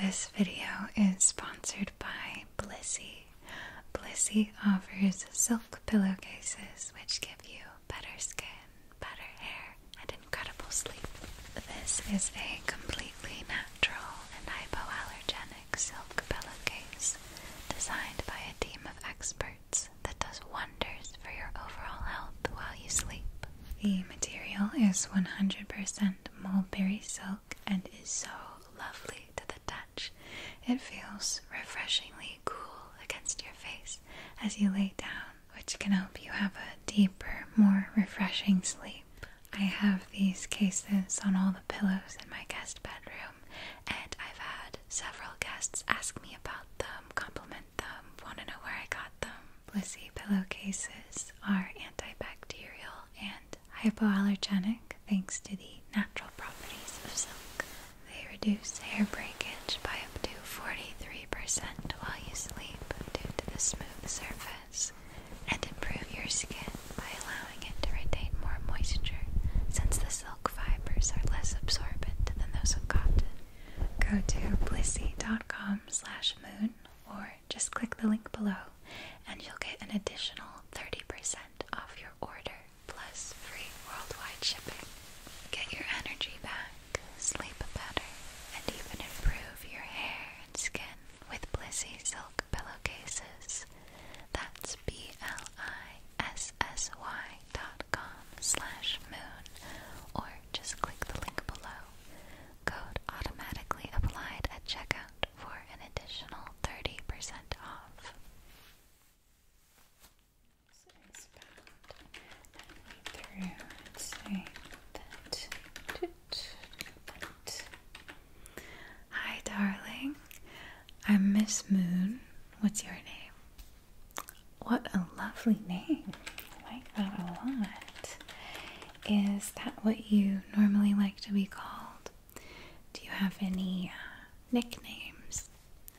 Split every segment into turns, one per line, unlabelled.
This video is sponsored by Blissy. Blissy offers silk pillowcases which give you better skin, better hair, and incredible sleep. This is a completely natural and hypoallergenic silk pillowcase designed by a team of experts that does wonders for your overall health while you sleep. The material is 100% mulberry silk and is so lovely to the touch. It feels refreshingly cool against your face as you lay down, which can help you have a deeper, more refreshing sleep. I have these cases on all the pillows in my guest bedroom, and I've had several guests ask me about them, compliment them, want to know where I got them. Blissy pillowcases are antibacterial and hypoallergenic thanks to the natural properties of silk. They reduce hair breakage by up to 43% while you sleep due to the smooth surface and improve your skin by allowing it to retain more moisture since the silk fibers are less absorbent than those of cotton. Go to blissy.com slash moon or just click the link below and you'll get an additional 30% off your order plus free worldwide shipping. Get your energy back, sleep better, and even improve your hair and skin with Blissy Silk Pillowcases. That's B-L-I-S-S-Y dot com slash moon or just click the link below code automatically applied at checkout for an additional 30% off. Hi, darling. I'm Miss Moon. What's your name? What a lovely name. I like that a lot. Is that what you normally like to be called? Do you have any uh, nicknames?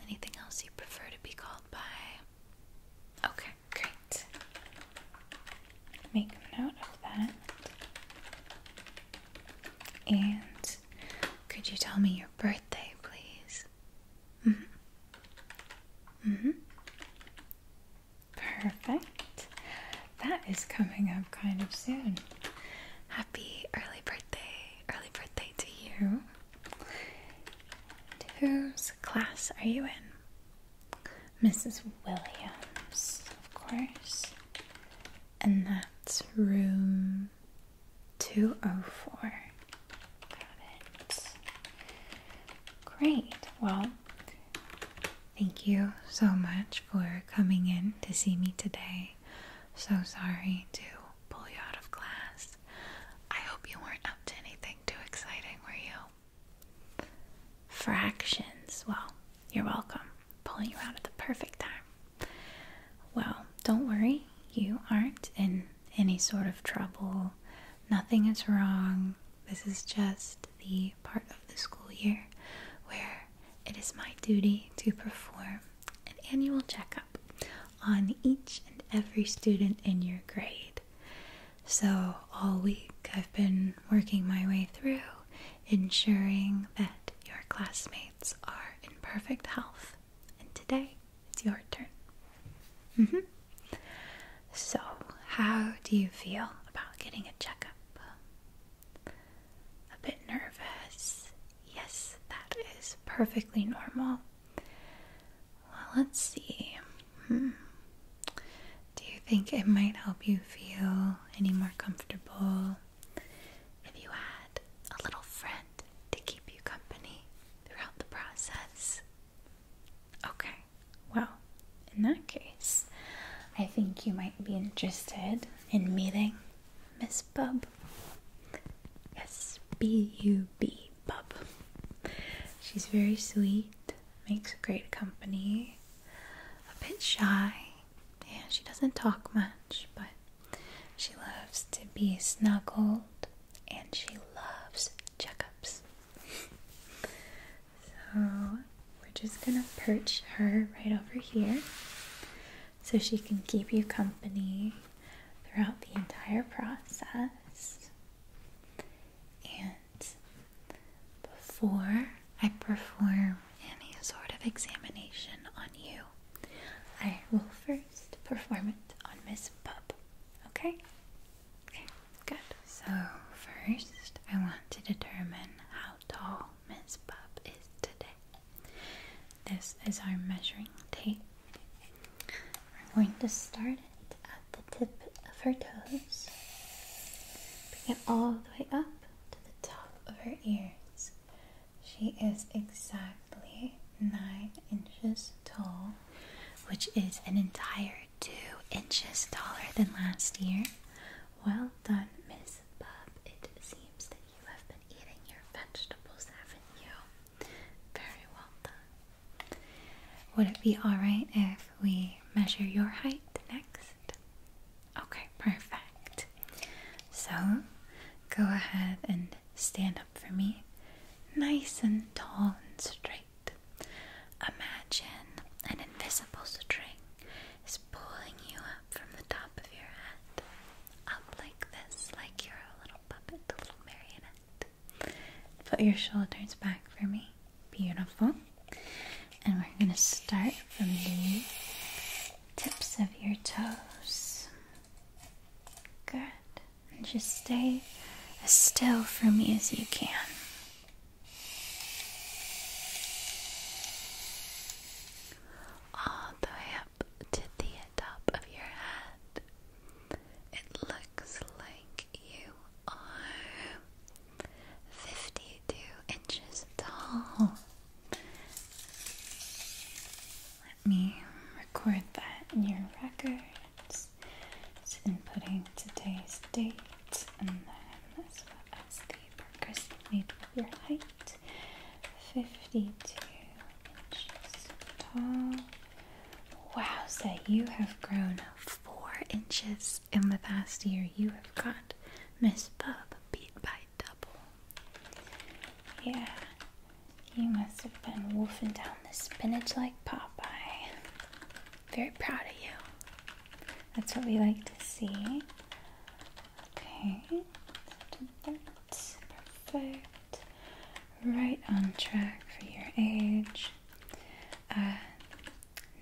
Anything else you prefer to be called by? Okay, great. Make a note of that. And could you tell me your birthday, please? hmm. hmm. Perfect. That is coming up kind of soon. Happy early birthday, early birthday to you. whose class are you in? Mrs. Williams, of course. And that's room 204. Great. Well, Thank you so much for coming in to see me today. So sorry to pull you out of class. I hope you weren't up to anything too exciting, were you? Fractions. Well, you're welcome. Pulling you out at the perfect time. Well, don't worry. You aren't in any sort of trouble. Nothing is wrong. This is just the part of the school year where it is my duty to perform an annual checkup on each and every student in your grade. So, all week I've been working my way through ensuring that your classmates are in perfect health, and today it's your turn. Mm-hmm. So, how do you feel about getting a checkup? Um, a bit nervous. Yes, that is perfectly normal. Well, let's see. Hmm. Do you think it might help you feel any more comfortable if you had a little friend to keep you company throughout the process? Okay, well, in that case, I think you might be interested in meeting Miss Bub. S B U B, Bub. She's very sweet, makes great company, a bit shy, and she doesn't talk much, but she loves to be snuggled and she loves checkups. So we're just gonna perch her right over here so she can keep you company throughout the entire process. And before I perform any sort of examination on you, I will first perform it on Miss Pup. Okay? Okay. Good. So, first, I want to determine how tall Miss Bub is today. This is our measuring tape. We're going to start it at the tip of her toes, bring it all the way up to the top of her ears. She is exactly nine inches tall, which is an entire two inches taller than last year. Well done, Miss Bob. It seems that you have been eating your vegetables, haven't you? Very well done. Would it be alright if we measure your height next? Okay, perfect. So, go ahead and stand up for me. Nice and tall and straight. Imagine an invisible string is pulling you up from the top of your head, up like this, like you're a little puppet, a little marionette. Put your shoulders back for me. Beautiful. And we're going to start from the tips of your toes. Good. And just stay as still for me as you can all the way up to the top of your head. It looks like you are 52 inches tall. Let me record that in your records. It's inputting today's date and then this is the procrastinate with your height. 52 inches tall. Wow, Wowza, you have grown 4 inches in the past year. You have got Miss Bub beat by double. Yeah, you must have been wolfing down the spinach like Popeye. Very proud of you. That's what we like to see. Okay, perfect. Right on track for your age. Uh,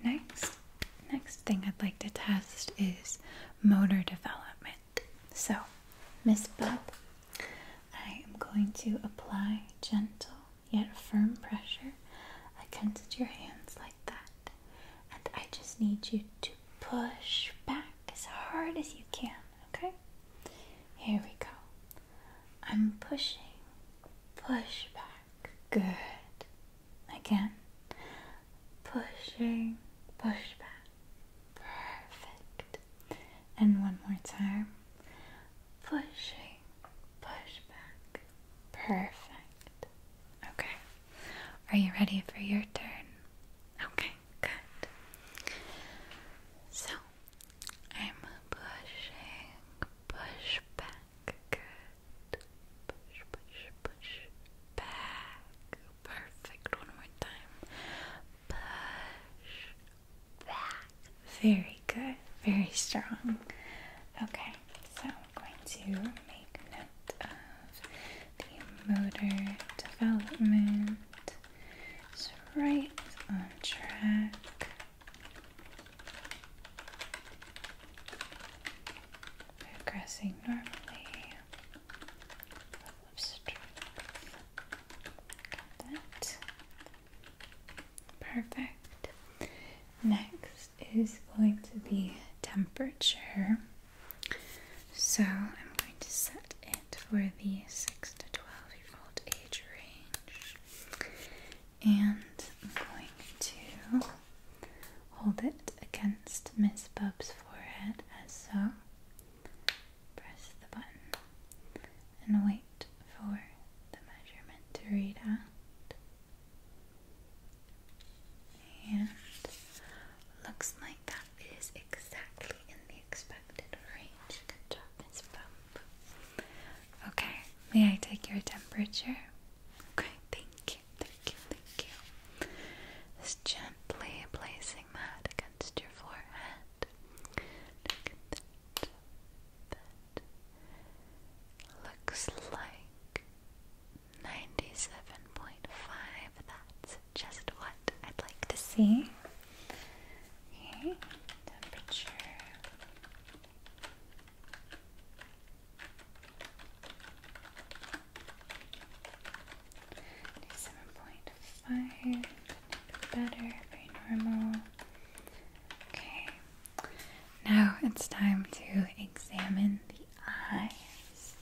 next, next thing I'd like to test is motor development. So, Miss Bub, I am going to apply gentle yet firm pressure I against your hands like that. And I just need you to push back as hard as you can, okay? Here we go. I'm pushing. Push back. Good. Again. Pushing. Push back. Perfect. And one more time. Pushing. Push back. Perfect. Okay. Are you ready for your turn? Okay, good. So, I'm pushing, push back. Good. Push, push, push back. Perfect. One more time. Push back. Very good. Very strong. Okay, so going to make note of the motor development. right on track. Progressing normally. Perfect. Next is going to be temperature. So I'm going to set it for the 6 to 12 year old age range. And I'm going to hold it against Miss Bub's forehead as so. Press the button and wait for the measurement to read out. And looks like that is exactly in the expected range. Good job, Miss Bump. Okay, may I take your temperature? Okay, thank you, thank you, thank you. Just gently placing that against your forehead. Looks like 97.5. That's just what I'd like to see. temperature. Seven point five, better, very normal. Okay, now it's time to examine the eyes,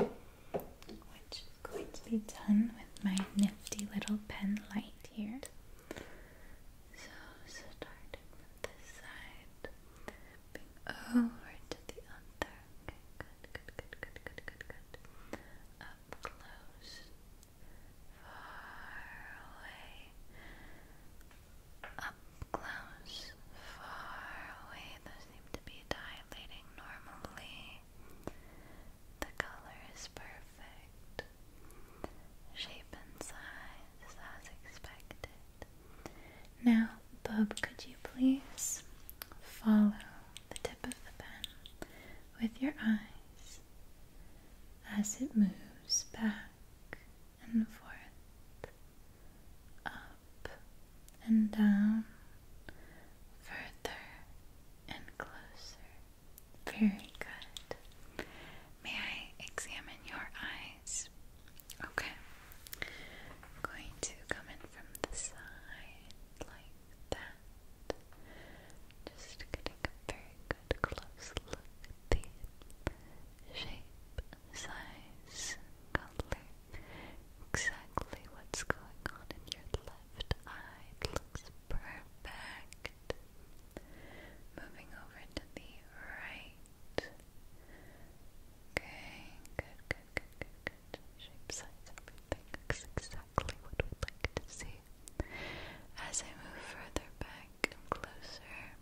which is going to be done with my nifty little pen light here. So, starting with this side, over to the other. good, good, good, good, good, good, good. Up close, far away. Up close, far away, those seem to be dilating normally. The color is perfect. Shape and size as expected. Now, Bub, could you please follow the tip of the pen with your eyes as it moves back and forth, up and down, further and closer. Very good. May I examine your eyes? Okay. going to come in from the side like that. Just getting a very good close look at the shape, size, color, exactly what's going on in your left eye. looks perfect. Moving over to the right. Okay, good, good, good, good, good. Shape, size, everything looks exactly what we'd like to see. As I move further back and closer,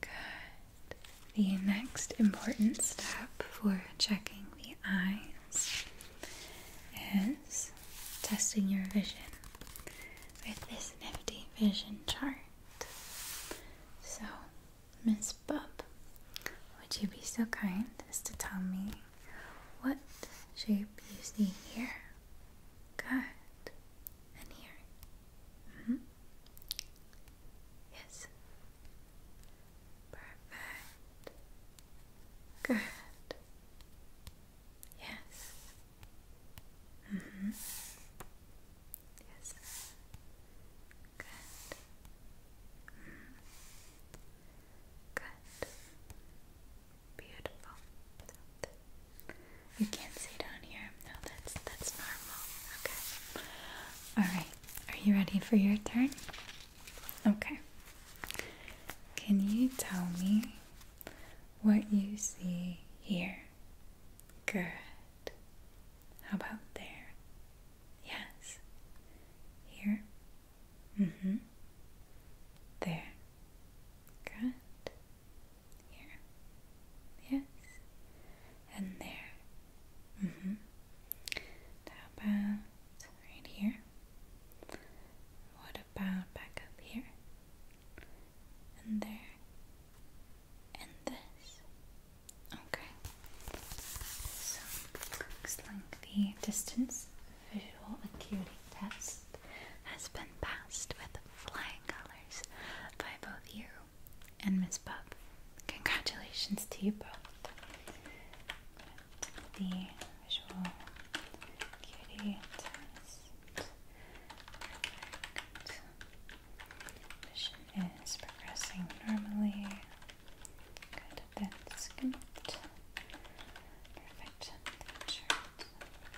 Good. The next important step for checking the eyes is testing your vision with this nifty vision chart. So, Miss Bub, would you be so kind as to tell me what shape you see here? Good and here. -hmm. Yes. Perfect. Good. Yes. Mm -hmm. Yes. Good. -hmm. Good. Beautiful. You can't see down here. No, that's that's normal. Okay. Alright. Are you ready for your turn? Okay. Can you tell me what you see here? Good. How about there? Yes. Here? Mm-hmm. There. Good. Here. Yes. And there. Mm hmm. How about right here? What about back up here? And there. And this. Okay. So, looks like distance visual acuity test has been passed with flying colors by both you and Miss Pup. Congratulations to you both. The visual acuity test. Vision is progressing normally. Good, that's good. Perfect.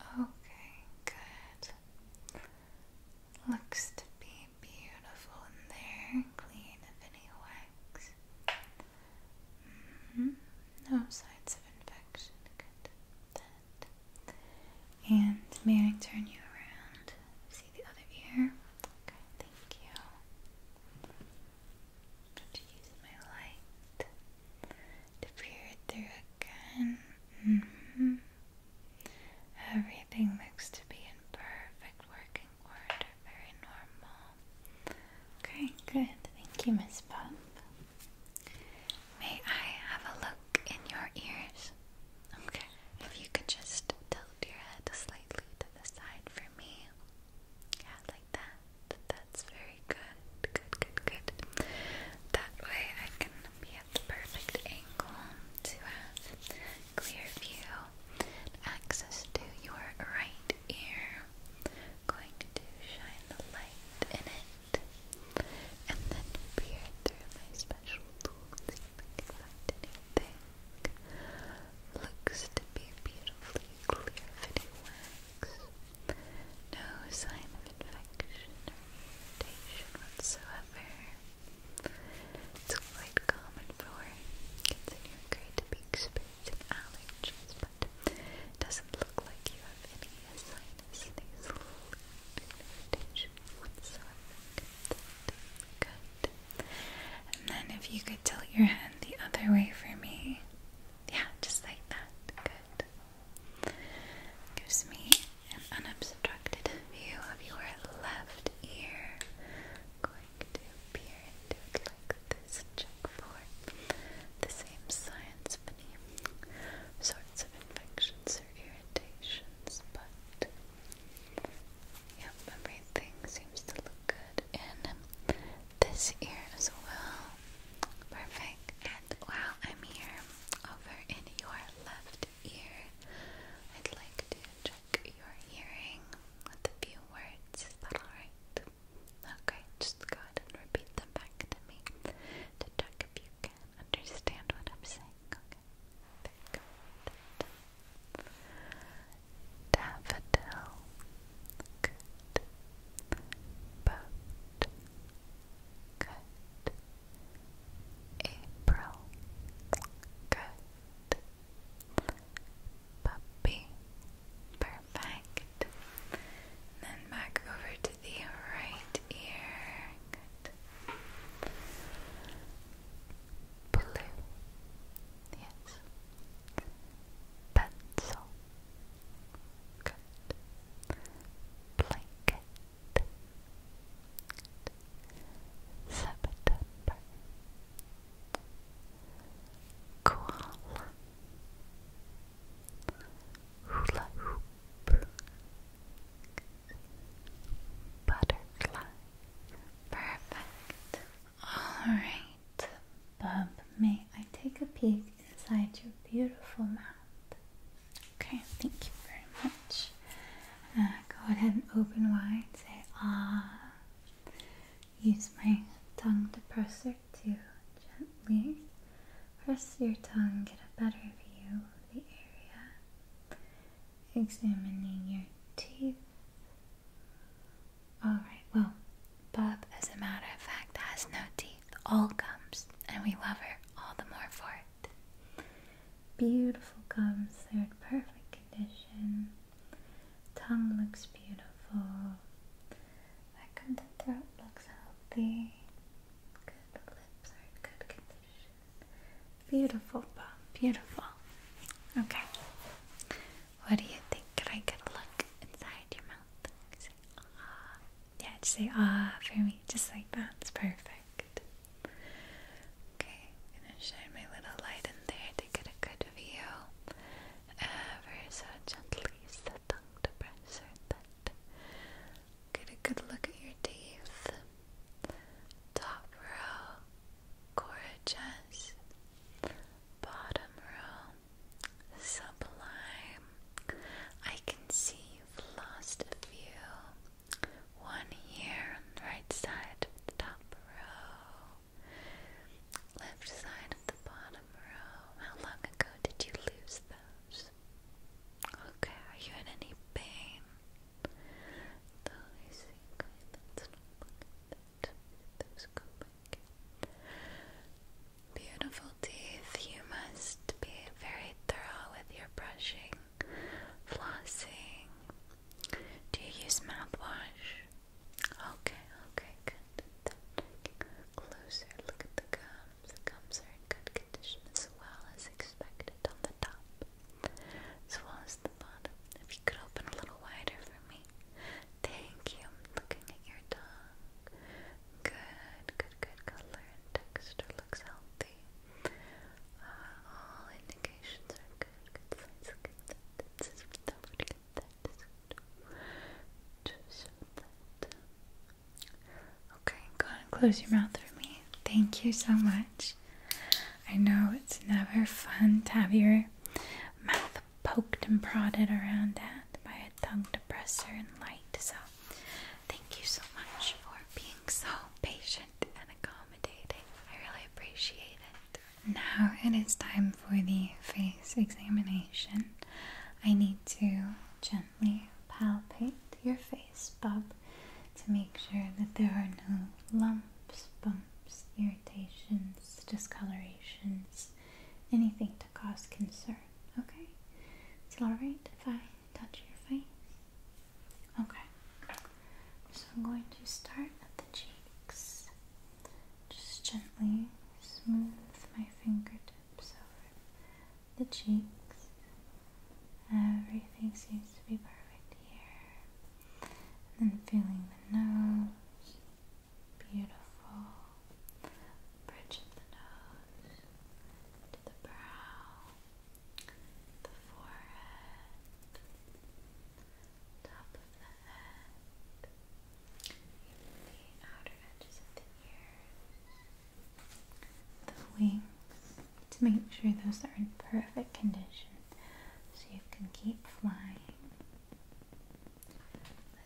Okay, good. Looks to be beautiful in there, clean of wax. -hmm. No signs of infection. Good. And may I turn you around? See the other ear? Okay, thank you. Going to use my light to peer through again. Mm-hmm. Everything looks to be in perfect working order, very normal. Okay, good. Thank you, Miss Pop. May I have a look in your ears? Okay. If you could just tilt your head slightly to the side for me. Yeah, like that. That's very good. Good, good, good. That way I can be at the perfect angle to have clear view and access to your right ear. Going to shine the light in it and then peer through my special tool to Looks to be beautifully clear fitting wax. No sign of infection or mutation whatsoever. It's quite common for kids in your grade to be experiencing allergies, but doesn't look like you have any sinus nasal irritation whatsoever. Good. And then if you could tilt your hand the other way for me. Yeah, just like that. Good. Gives me an unobstructed view of your left ear. Going to peer into it like this. Check for the same signs of any sorts of infections or irritations, but yep, everything seems to look good in this ear as well. Perfect. And while I'm here, over in your left ear, I'd like to check your hearing with a few words. Is that alright? Okay, just go ahead and repeat them back to me to check if you can understand what I'm saying. Okay, Daffodil. Good. Boat. Good. April. Good. Puppy. Perfect. Then back over to the right ear. Good. Blue. Yes. Pencil. Good blanket. September Koala Hula Hoop Butterfly Perfect. Alright, Bub, may I take a peek inside your beautiful mouth. Okay, thank you very much. Uh, go ahead and open wide. Say ah. Use my tongue depressor to gently press your tongue, get a better view of the area. Examining your teeth. Alright, well, Bob, as a matter of fact, has no teeth, all gums, and we love her all the more for it. Beautiful gums, they're in perfect condition. Tongue looks beautiful. Back on the throat looks healthy. Good lips are in good condition. Beautiful, Bob, beautiful. Okay. What do you think? Could I get a look inside your mouth? Ah. Yeah, just say ah for me, just like that. It's perfect. Okay, gonna shine my little light in there to get a good view. Ever so gently use the tongue to Get a good look at your teeth. Top row, gorgeous. Bottom row, Sublime. I can see you've lost a few. One here on the right side of the top row. Left side of the bottom row. How long ago did you lose those? Okay, are you in any pain? Beautiful teeth, you must be very thorough with your brushing, flossing. Do you use mouthwash? Okay, okay, good. closer, look at the gums. The gums are in good condition as well as expected on the top, as well as the bottom. If you could open a little wider for me. Thank you. looking at your tongue. Good, good good, color and texture, looks healthy. Uh, all indications are good, good signs, good that, good. Okay, go ahead close your mouth for me. Thank you so much. I know it's never fun to have your mouth poked and prodded around that by a tongue depressor and light, so Thank you so much for being so patient and accommodating. I really appreciate it. Now it is time for the face examination. I need to gently palpate your face, Bob, to make sure that there are no lumps, bumps, irritations, discolorations, anything cause concern, okay? It's alright if I touch your face? Okay. So I'm going to start at the cheeks. Just gently smooth my fingertips over the cheeks. Everything seems to be perfect here. And then feeling the nose. Beautiful bridge of the nose to the brow, the forehead, top of the head, the outer edges of the ears, the wings to make sure those are in perfect condition so you can keep flying.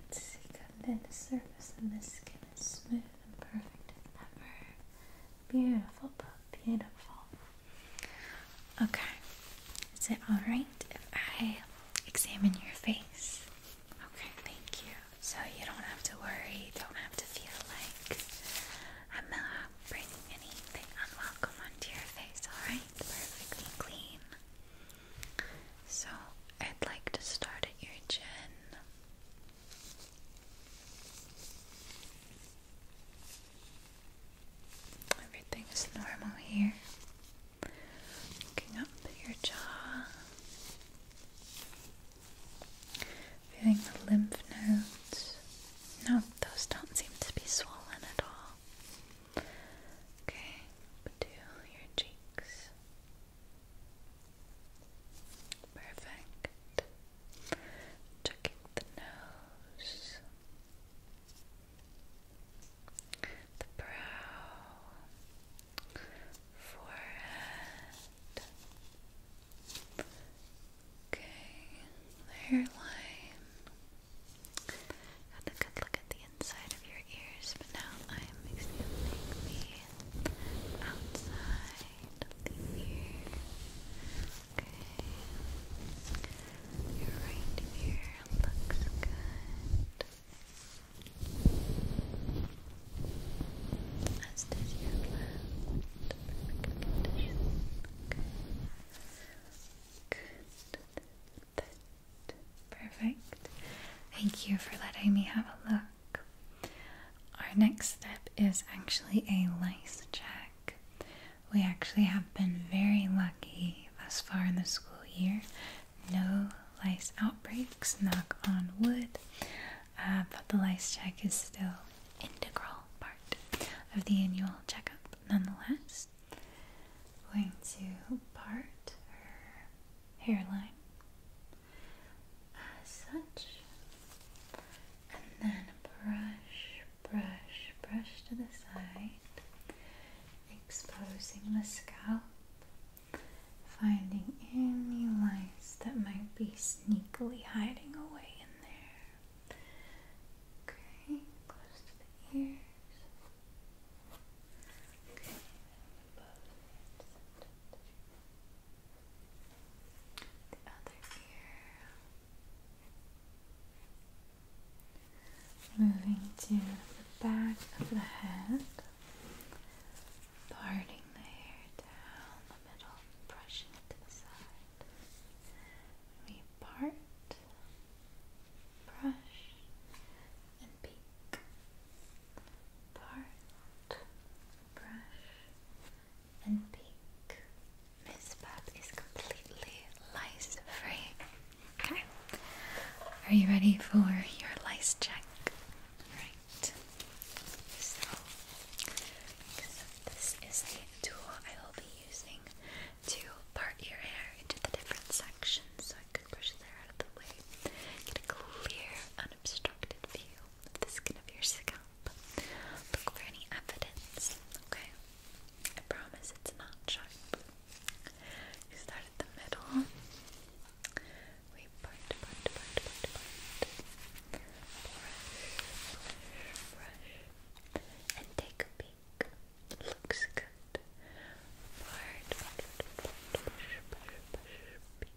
Let's see, come in the surface and the skin is smooth and perfect as ever. Beautiful, but beautiful. Okay, is it alright if I examine your face? Okay, thank you. So you don't have to worry, don't have to feel like I'm not bringing anything unwelcome onto your face, alright? Perfectly clean. So I'd like to start at your chin. Everything is normal here. Looking up at your jaw. Feeling the lymph nodes. No, those don't seem to be swollen at all. Okay, but your cheeks. Perfect. Checking the nose, the brow, forehead. Okay, the hairline. And a good look at the inside your ears, but now I'm examining the outside of Okay. Your right ear looks good. As does your left. Good. Perfect. Thank you for letting me have a look. Our next step is actually a lice check. We actually have been very lucky thus far in the school year. No lice outbreaks, knock on wood. Uh, but the lice check is still integral part of the annual checkup nonetheless. going to part her hairline as such, and then brush, brush, brush to the side, exposing the scalp, finding any lines that might be sneakily hiding away in there. Okay, close to the ears. Okay, Moving to the back of the head, parting the hair down the middle, brushing it to the side. We part, brush, and pink. Part, brush, and pink. This pad is completely lice free. Okay. Are you ready for your lice check? Right. So, this is the tool I will be using to part your hair into the different sections can brush out of the way. Get a clear, unobstructed view of the skin of your scalp. Look for any evidence, okay? I promise it's not sharp. You start at the middle. We part, part, part, part, part. Brush, brush, brush. And take a peek. Looks good. Part, part, part, part, part, part, part, part,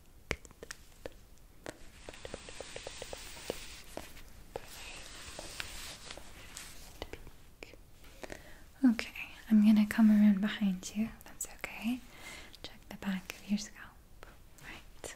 Okay, I'm gonna come around behind you. That's okay. Check the back of your scalp. Right.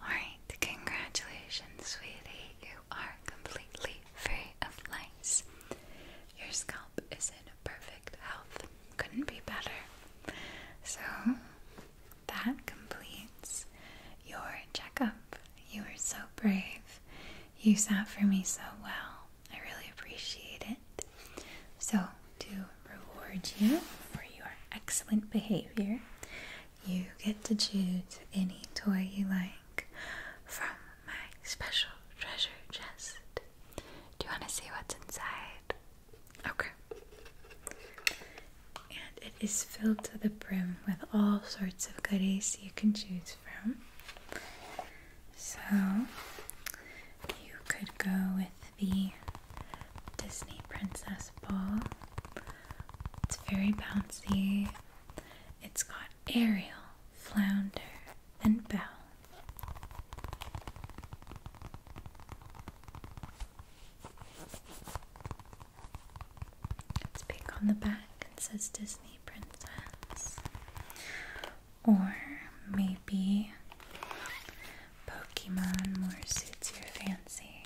Alright, congratulations, sweetie. You are completely free of lice. Your scalp is in perfect health. Couldn't be better. So, that completes your checkup. You were so brave. You sat for me so well. I really appreciate it. So, to reward you for your excellent behavior, you get to choose any toy you like from my special treasure chest. Do you want to see what's inside? Okay. And it is filled to the brim with all sorts of goodies you can choose from. So, you could go with the Disney Princess Ball, it's very bouncy. It's got Ariel, Flounder, and Belle. It's big on the back and says Disney Princess. Or maybe Pokemon more suits your fancy.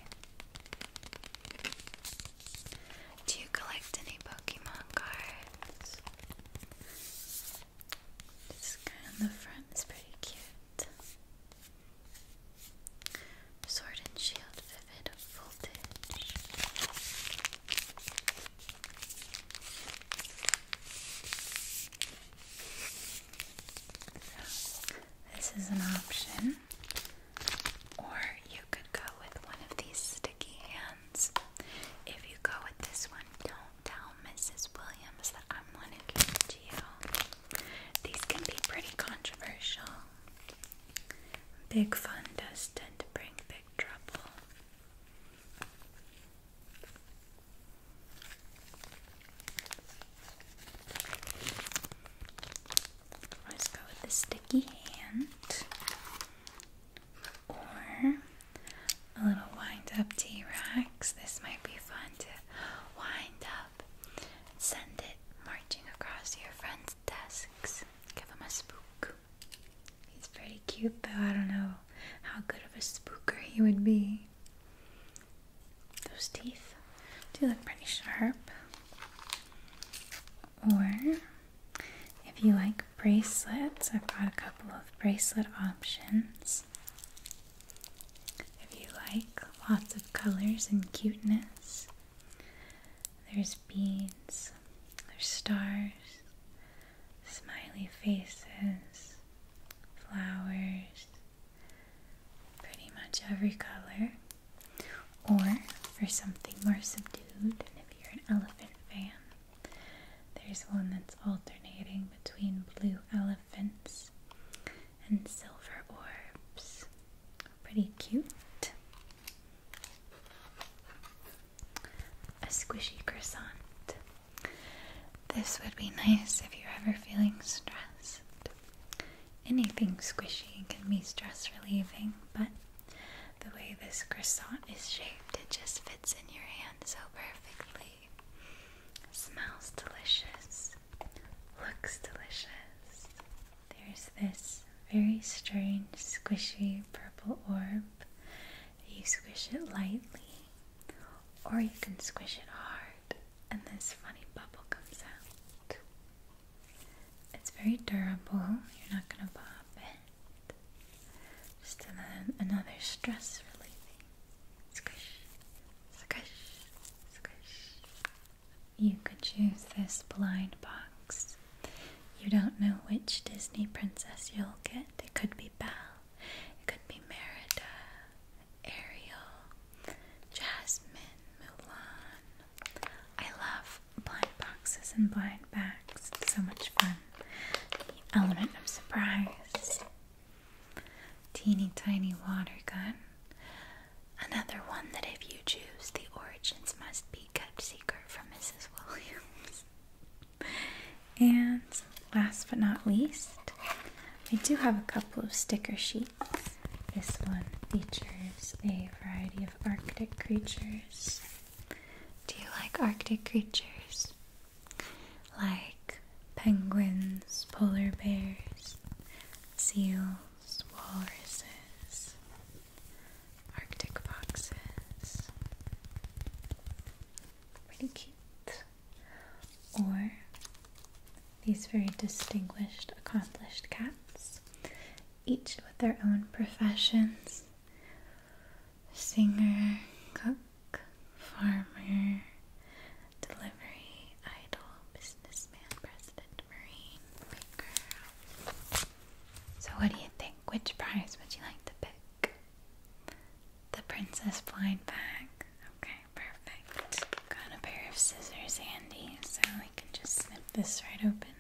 Do you collect any Pokemon cards? This guy on the front is pretty cute. Sword and Shield Vivid Voltage. this is an option. Or you could go with one of these sticky hands. If you go with this one, don't tell Mrs. Williams that I'm one who gave it to you. These can be pretty controversial. Big fun does tend to bring big trouble. Let's go with the sticky hand or a little wind up T Rex. This might be fun to wind up send it marching across your friends' desks. Give him a spook. He's pretty cute though. I don't know how good of a spooker he would be. Those teeth do look pretty sharp. Or if you like bracelets, I've got a couple of bracelet options. If you like lots of colors and cuteness, there's beads, there's stars, smiley faces, flowers, pretty much every color, or for something more subdued. if you're an elephant fan, there's one that's alternating between blue elephants and silver orbs. Pretty cute. A squishy croissant. This would be nice if you're ever feeling stressed. Anything squishy can be stress relieving, but the way this croissant is shaped, it just fits in your hand so perfectly. Smells delicious, looks delicious. There's this very strange, squishy purple orb. You squish it lightly, or you can squish it hard, and this funny bubble comes out. It's very durable, you're not going to pop it. Just another, another stress relieving. Squish, squish, squish. You could choose this blind box. You don't know which Disney princess you'll get. It could be Belle, it could be Merida, Ariel, Jasmine, Mulan. I love blind boxes and blind bags. so much fun. The element of surprise. Teeny tiny water gun. Another one that if you choose, the origins must be kept secret from Mrs. Williams. and last but not least, I do have a couple of sticker sheets. This one features a variety of Arctic creatures. Do you like Arctic creatures? Like penguins, polar bears, seals, walruses, Arctic foxes. Pretty cute. Or these very distinguished, accomplished cats, each with their own professions singer, cook, farmer, delivery, idol, businessman, president, marine, baker. So, what do you think? Which prize would you like to pick? The princess blind bag. Okay, perfect. Got a pair of scissors handy, so I can just snip this right open.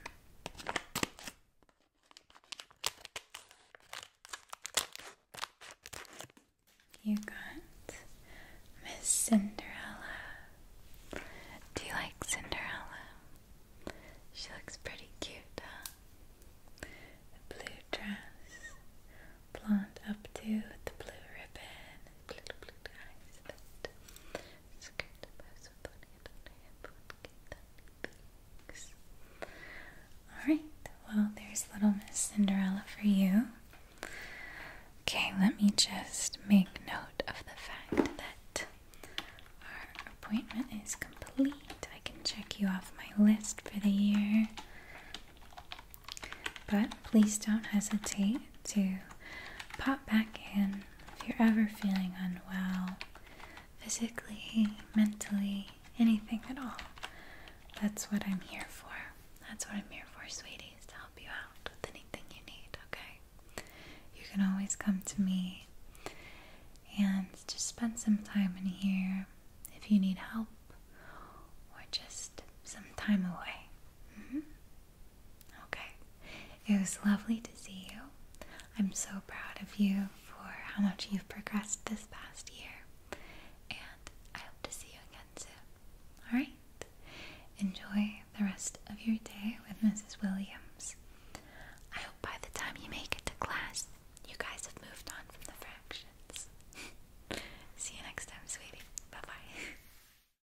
You got Miss Cinderella. Do you like Cinderella? She looks pretty cute, huh? blue dress, blonde updo with the blue ribbon, blue blue eyes. Alright, well, there's Little Miss Cinderella for you. Okay, let me just make note of the fact that our appointment is complete. I can check you off my list for the year. But please don't hesitate to pop back in if you're ever feeling unwell, physically, mentally, anything at all. That's what I'm here for. That's what I'm here for, sweeties, to help you out with anything you need, okay? You can always come to me and just spend some time in here if you need help or just some time away. Mm-hmm. Okay. It was lovely to see you. I'm so proud of you for how much you've progressed this past year. And I hope to see you again soon. Alright? Enjoy the rest of your day with Mrs. Williams. I hope by the time you make it to class, you guys have moved on from the fractions. see you next time, sweetie. Bye bye.